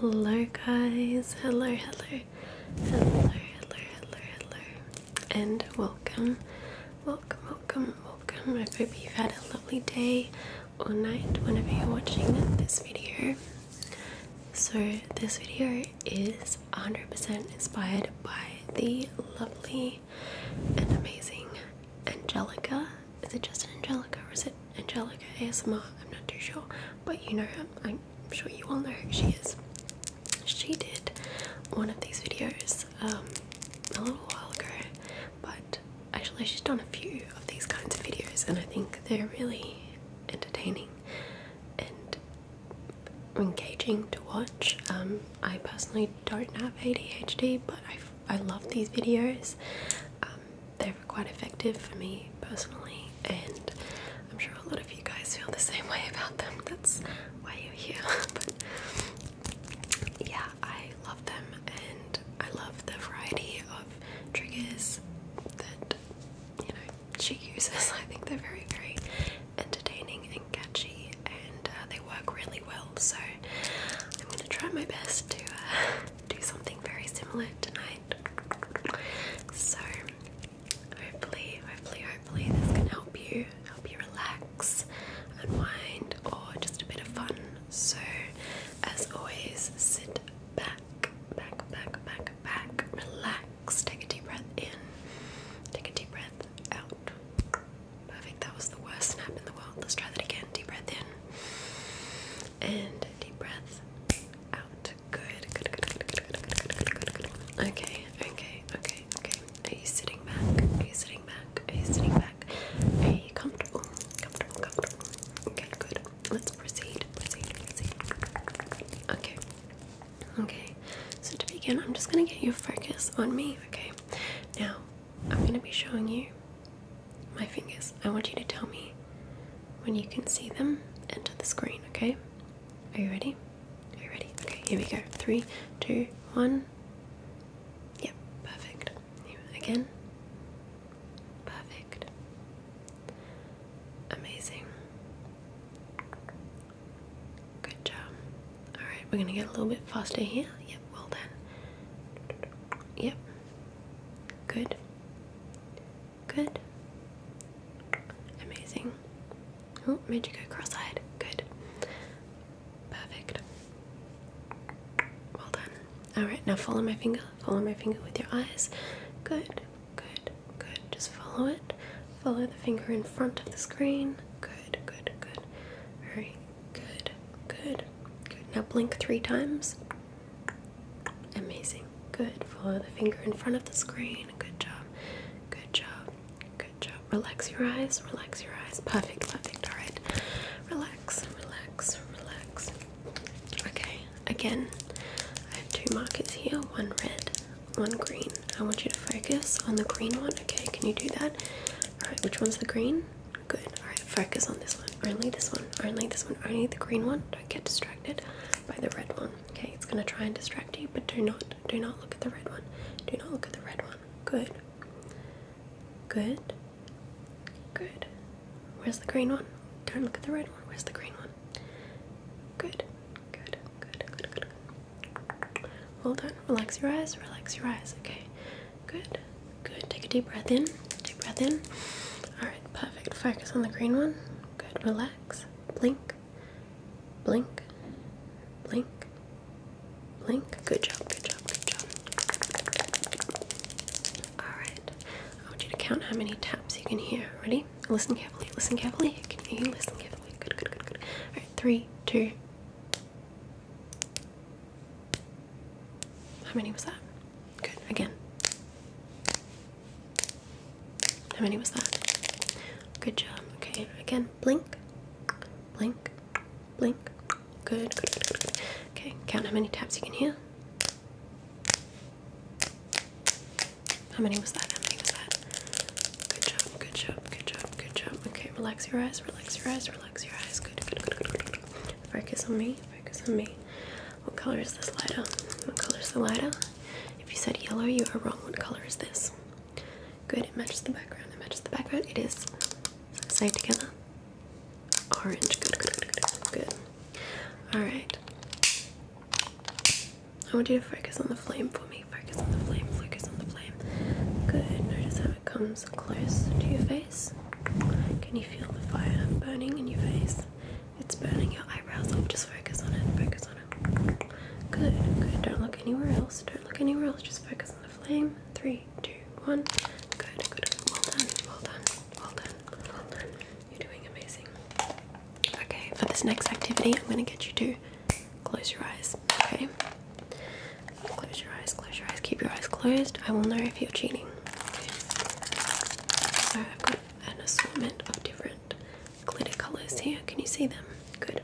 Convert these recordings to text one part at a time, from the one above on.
Hello guys, hello, hello, hello, hello, hello, hello, and welcome, welcome, welcome, welcome. I hope you've had a lovely day or night whenever you're watching this video. So, this video is 100% inspired by the lovely and amazing Angelica. Is it just Angelica or is it Angelica ASMR? I'm not too sure, but you know, I'm, sure you all know who she is. She did one of these videos um, a little while ago, but actually, she's done a few of these kinds of videos, and I think they're really entertaining and engaging to watch. Um, I personally don't have ADHD, but I, I love these videos. Um, they're quite effective for me personally, and I'm sure a lot of you guys feel the same way about them. That's why you're here. but yeah, I love them, and I love the variety of triggers that you know she uses. I think they're very, very entertaining and catchy, and uh, they work really well. So I'm gonna try my best to uh, do something very similar tonight. So hopefully, hopefully, hopefully, this can help you, help you relax, unwind, or just a bit of fun. So, as always, sit back, back, back, back, back, relax relax. Take a deep breath in. Take a deep breath out. Perfect. That was the worst snap in the world. Let's try that again. Deep breath in. And deep breath out. Good. Good, good, good, good, good, good, good, good, good, good. Okay, okay, okay, okay. Are you sitting back? Are you sitting back? Are you sitting back? Are you comfortable? Comfortable, comfortable. Okay, good. Let's proceed. Proceed, proceed. Okay. Okay, so to begin, I'm just gonna get you focus on me, okay? Now, I'm gonna be showing you my fingers. I want you to tell me when you can see them into the screen, okay? Are you ready? Are you ready? Okay, here we go. Three, two, one. Yep, perfect. Again. Perfect. Amazing. Good job. Alright, we're gonna get a little bit faster here. Yep, well done. Yep. Good. Good. Amazing. Oh, made you go cross eyed. Good. Perfect. Well done. Alright, now follow my finger. Follow my finger with your eyes. Good. Good good. Just follow it. Follow the finger in front of the screen. Good, good, good. Very good, good, good. Now blink three times. Amazing. Good. Follow the finger in front of the screen. Good job. Good job. Good job. Relax your eyes. Relax your eyes. Perfect, perfect. All right. Relax, relax, relax. Okay, again, I have two markers here one red, one green. I want you to focus on the green one. Okay, can you do that? Alright, which one's the green? Good. Alright, focus on this one. Only this one. Only this one. Only the green one. Don't get distracted by the red one. Okay, it's gonna try and distract you, but do not do not look at the red one. Do not look at the red one. Good. Good. Good. Where's the green one? Don't look at the red one. Where's the green one? Good. Good, good, good, good, good. Well Relax your eyes, relax your eyes. Okay. Good, good. Take a deep breath in. Deep breath in. Alright, perfect. Focus on the green one. Good, relax. Blink, blink, blink, blink. Good job, good job, good job. Alright, I want you to count how many taps you can hear. Ready? Listen carefully, listen carefully. Can you listen carefully? Good, good, good, good. All right, three, two. How many was that? Good. Again. How many was that? Good job. Okay. Again. Blink. Blink. Blink. Good. good. Okay. Count how many taps you can hear. How many was that? How many was that? Good job, good job, good job, good job. Okay, relax your eyes, relax your eyes, relax your eyes. Good, good, good, good, Focus on me, focus on me. What color is this lighter? What color is the lighter? If you said yellow, you are wrong. What color is this? Good, it matches the background, it matches the background. It is, side together. Orange, good, good, good, good. Alright, I want you to focus on the flame for me. Focus on the flame, focus on the flame. Good. Notice how it comes close to your face. Can you feel the fire burning in your face? It's burning your eyebrows up. Just focus on it, focus on it. Good, good. Don't look anywhere else. Don't look anywhere else. Just focus on the flame. Three, two, one. Good, good, good. Well done, well done, well done, well done. You're doing amazing. Okay, for this next activity, I'm going to get you to Close your eyes, okay? Close your eyes, close your eyes, keep your eyes closed. I will know if you're cheating. So I've got an assortment of different glitter colours here. Can you see them? Good.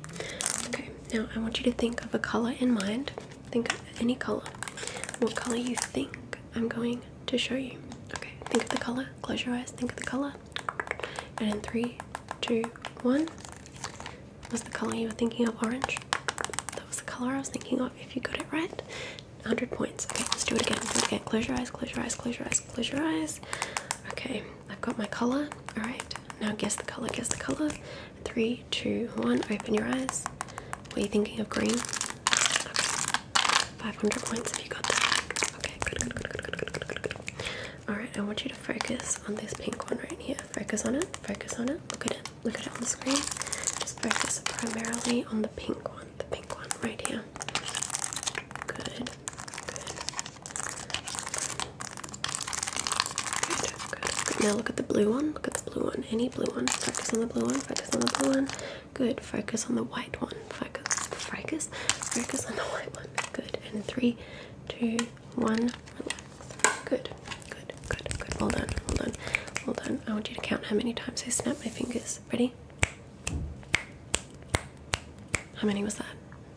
Okay, now I want you to think of a colour in mind. Think of any colour. What colour you think I'm going to show you. Okay, think of the colour, close your eyes, think of the colour. And in three, drew one was the color you were thinking of orange that was the color i was thinking of if you got it right 100 points okay let's do it again let's do it again close your eyes close your eyes close your eyes close your eyes okay i've got my color all right now guess the color guess the color three two one open your eyes what are you thinking of green okay 500 points if you got that okay good good good good good good good good good Alright, I want you to focus on this pink one right here. Focus on it, focus on it, look at it, look at it on the screen. Just focus primarily on the pink one, the pink one right here. Good, good. Good, good, Now look at the blue one, look at the blue one, any blue one. Focus on the blue one, focus on the blue one. Good, focus on the white one, focus, focus, focus on the white one. Good, and three, two, one, Good, good, good, good. Well done, well done, well done. I want you to count how many times I snap my fingers. Ready? How many was that?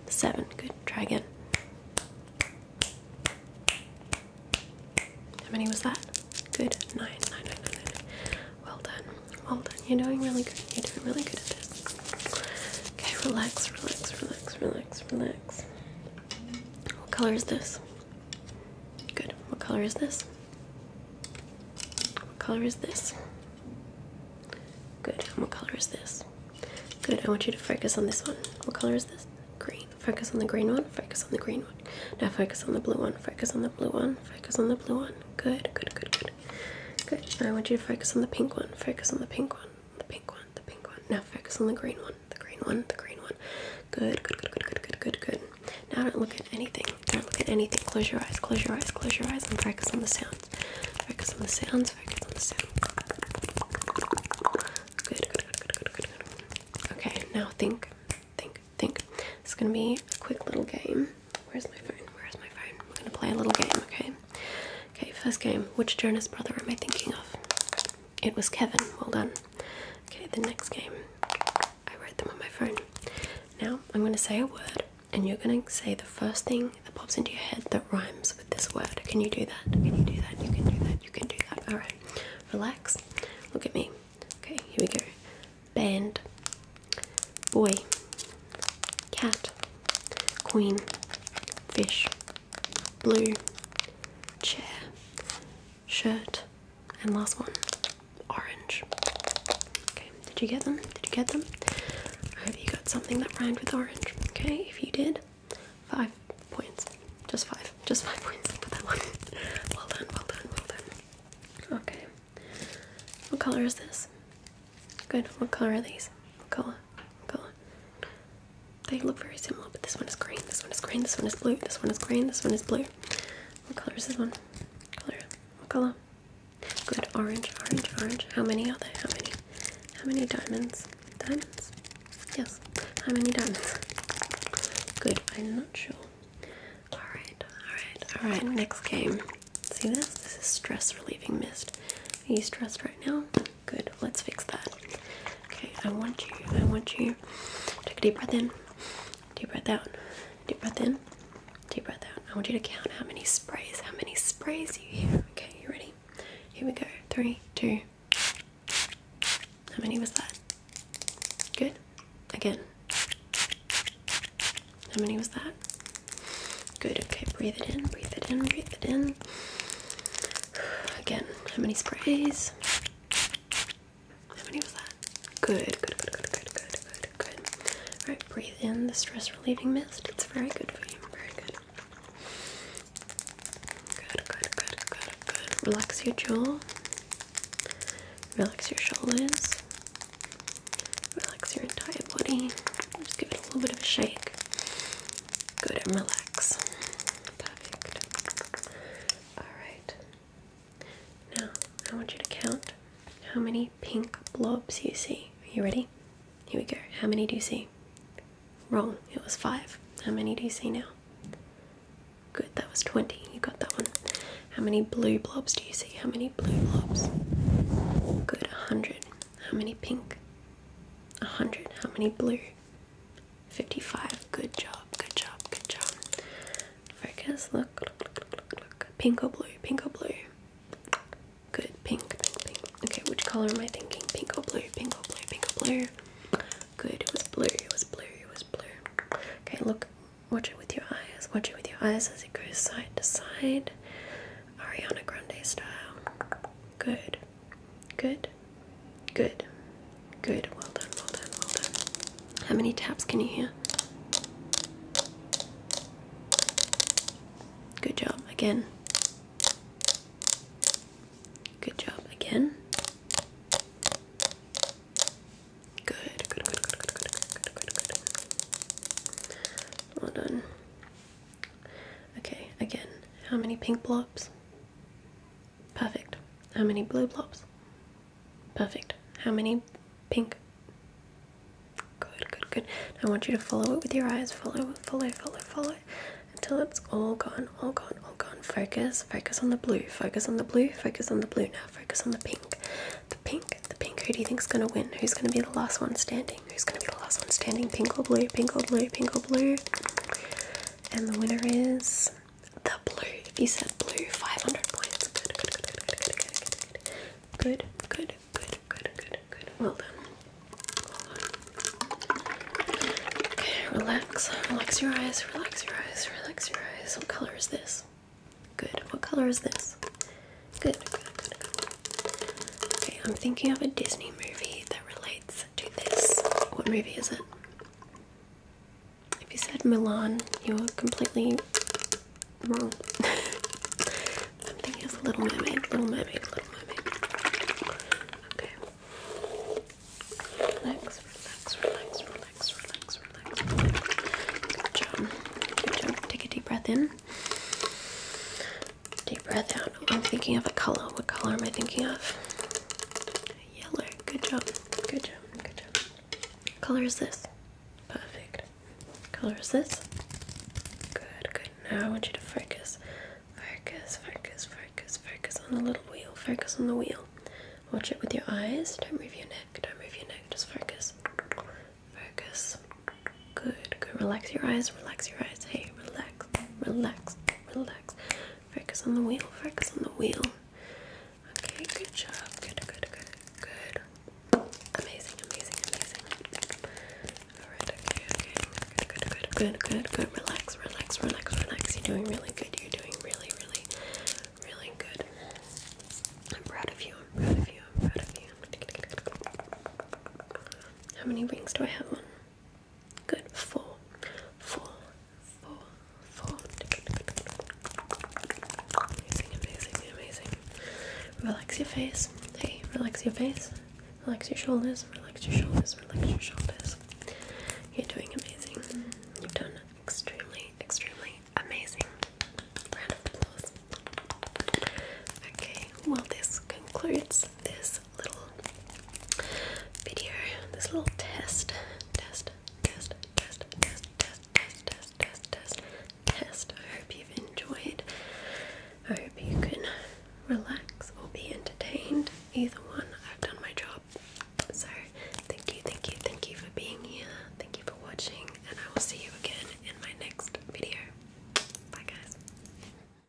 Seven. Good. Try again. How many was that? Good. Nine. Nine, nine, nine, nine. Well done. Well done. You're doing really good. You're doing really good at this. Okay, relax, relax, relax, relax, relax. What color is this? Good. What color is this? What color is this? Good. And what color is this? Good. I want you to focus on this one. What color is this? Green. Focus on the green one. Focus on the green one. Now focus on the blue one. Focus on the blue one. Focus on the blue one. Good. Good. Good. Good. Good. I want you to focus on the pink one. Focus on the pink one. The pink one one, the pink one. Now focus on the green one, the green one, the green one. Good, good, good, good, good, good, good, good. Now don't look at anything. Don't look at anything. Close your eyes, close your eyes, close your eyes, and focus on the sounds. Focus on the sounds, focus on the sounds. Good, good, good, good, good, good, good. Okay, now think, think, think. It's gonna be a quick little game. Where's my phone? Where's my phone? We're gonna play a little game, okay? Okay, first game. Which Jonas brother am I thinking of? It was Kevin. Well done. Okay, the next game. I wrote them on my phone. Now I'm going to say a word, and you're going to say the first thing that pops into your head that rhymes with this word. Can you do that? Can you do that? You can do that. You can do that. All right. Relax. Look at me. Okay, here we go. Band. Boy. Cat queen, fish, blue, chair, shirt, and last one, orange. Okay, did you get them? Did you get them? I hope you got something that rhymed with orange. Okay, if you did, five points. Just five. Just five points for that one. well done, well done, well done. Okay. What colour is this? Good. What color are these? What color? What color? They look very similar, but this one is green. This one is green. This one is blue. This one is green. This one is blue. What color is this one? color. What color? Good. Orange. Orange. Orange. How many are there? How many? How many diamonds? Diamonds. Yes. How many diamonds? Good. I'm not sure. All right. All right. All right. Next game. See this? This is stress relieving mist. Are you stressed right now? Good. Let's fix that. Okay. I want you. I want you. Take a deep breath in. Deep breath out. Deep breath in. Deep breath out. I want you to count how many sprays, how many sprays you hear. Okay. You ready? Here we go. Three, two. How many was that? Good. Again. How many was that? Good. Okay. Breathe it in. Breathe it in. Breathe it in. Again, how many sprays? How many was that? Good, good, good, good, good, good, good, good. Alright, breathe in the stress relieving mist. It's very good for you. Very good. Good, good, good, good, good. Relax your jaw. Relax your shoulders. Relax your entire body. Just give it a little bit of a shake good and relax. Perfect. Alright. Now, I want you to count how many pink blobs you see. Are you ready? Here we go. How many do you see? Wrong, it was five. How many do you see now? Good, that was 20. You got that one. How many blue blobs do you see? How many blue blobs? Good, 100. How many pink? 100. How many blue? 55. Good job, good job, good job. Focus, look, look, look, look, look. Pink or blue? Pink or blue? Good, pink, pink, pink. Okay, which color am I thinking? Pink or blue? Pink or blue? Pink or blue? Good, it was blue, it was blue, it was blue. Okay, look, watch it with your eyes. Watch it with your eyes as it goes side to side. Ariana Grande style. Good. Good. Good. Good. Well done. Well done. Well done. How many taps can you hear? Good job. Again. Good job. Again. Good. Good. Good. Good. Good. Good. Good. Good. Good. Well done. Okay, again, how many pink blobs? Perfect. How many blue blobs? Perfect. How many pink? Good, good, good. I want you to follow it with your eyes. Follow, follow, follow, follow until it's all gone, all gone, all gone. Focus, focus on the blue, focus on the blue, focus on the blue now, focus on the pink. The pink, the pink. Who do you think is gonna win? Who's gonna be the last one standing? standing. Who's gonna be the last one standing? Pink or blue? Pink or blue? Pink or blue? And the winner is the blue. If you said blue, 500 points. Good, good, good, good, good, good, good, good, good, good, good, good, good. Well done. Okay, relax. Relax your eyes. Relax your eyes. Relax your eyes. What color is this? Good. What color is this? Good. Good. Good. Good. Okay, I'm thinking of a Disney movie that relates what movie is it? If you said Milan, you were completely wrong. I'm thinking Little Mermaid, Little Mermaid, Little Mermaid. Okay. Relax, relax, relax, relax, relax, relax. Good job. Good job. Take a deep breath in. Deep breath out. I'm thinking of a color. What color am I thinking of? Yellow. Good job. Good job. Good job. color is this? Perfect. color is this? Good, good. Now I want you to focus. Focus, focus, focus, focus on the little wheel. Focus on the wheel. Watch it with your eyes. Don't move your neck. Don't move your neck. Just focus. Focus. Good, good. Relax your eyes. Relax your eyes. Hey, relax relax, relax. Focus on the wheel, focus on the wheel. Okay, good job. Good, good, good, good. Amazing, amazing, amazing. Alright, okay, okay. Good, good, good, good, good, Relax, relax, relax, relax. You're doing really good. You're doing really, really, really good. I'm proud of you. I'm proud of you. I'm proud of you. How many rings do I have on? Good. Full, full, full, full. Amazing, amazing, amazing. Relax your face. Hey, relax your face. Relax your shoulders. Relax your shoulders. Relax your shoulders. You're doing amazing. You've done extremely, extremely amazing. Round of applause. Okay, well, this concludes this little video, this little test, test, test, test, test, test, test, test, test, test, I hope you've enjoyed. I hope you can relax or be entertained. Either one, I've done my job. So thank you, thank you, thank you for being here. Thank you for watching, and I will see you again in my next video. Bye, guys.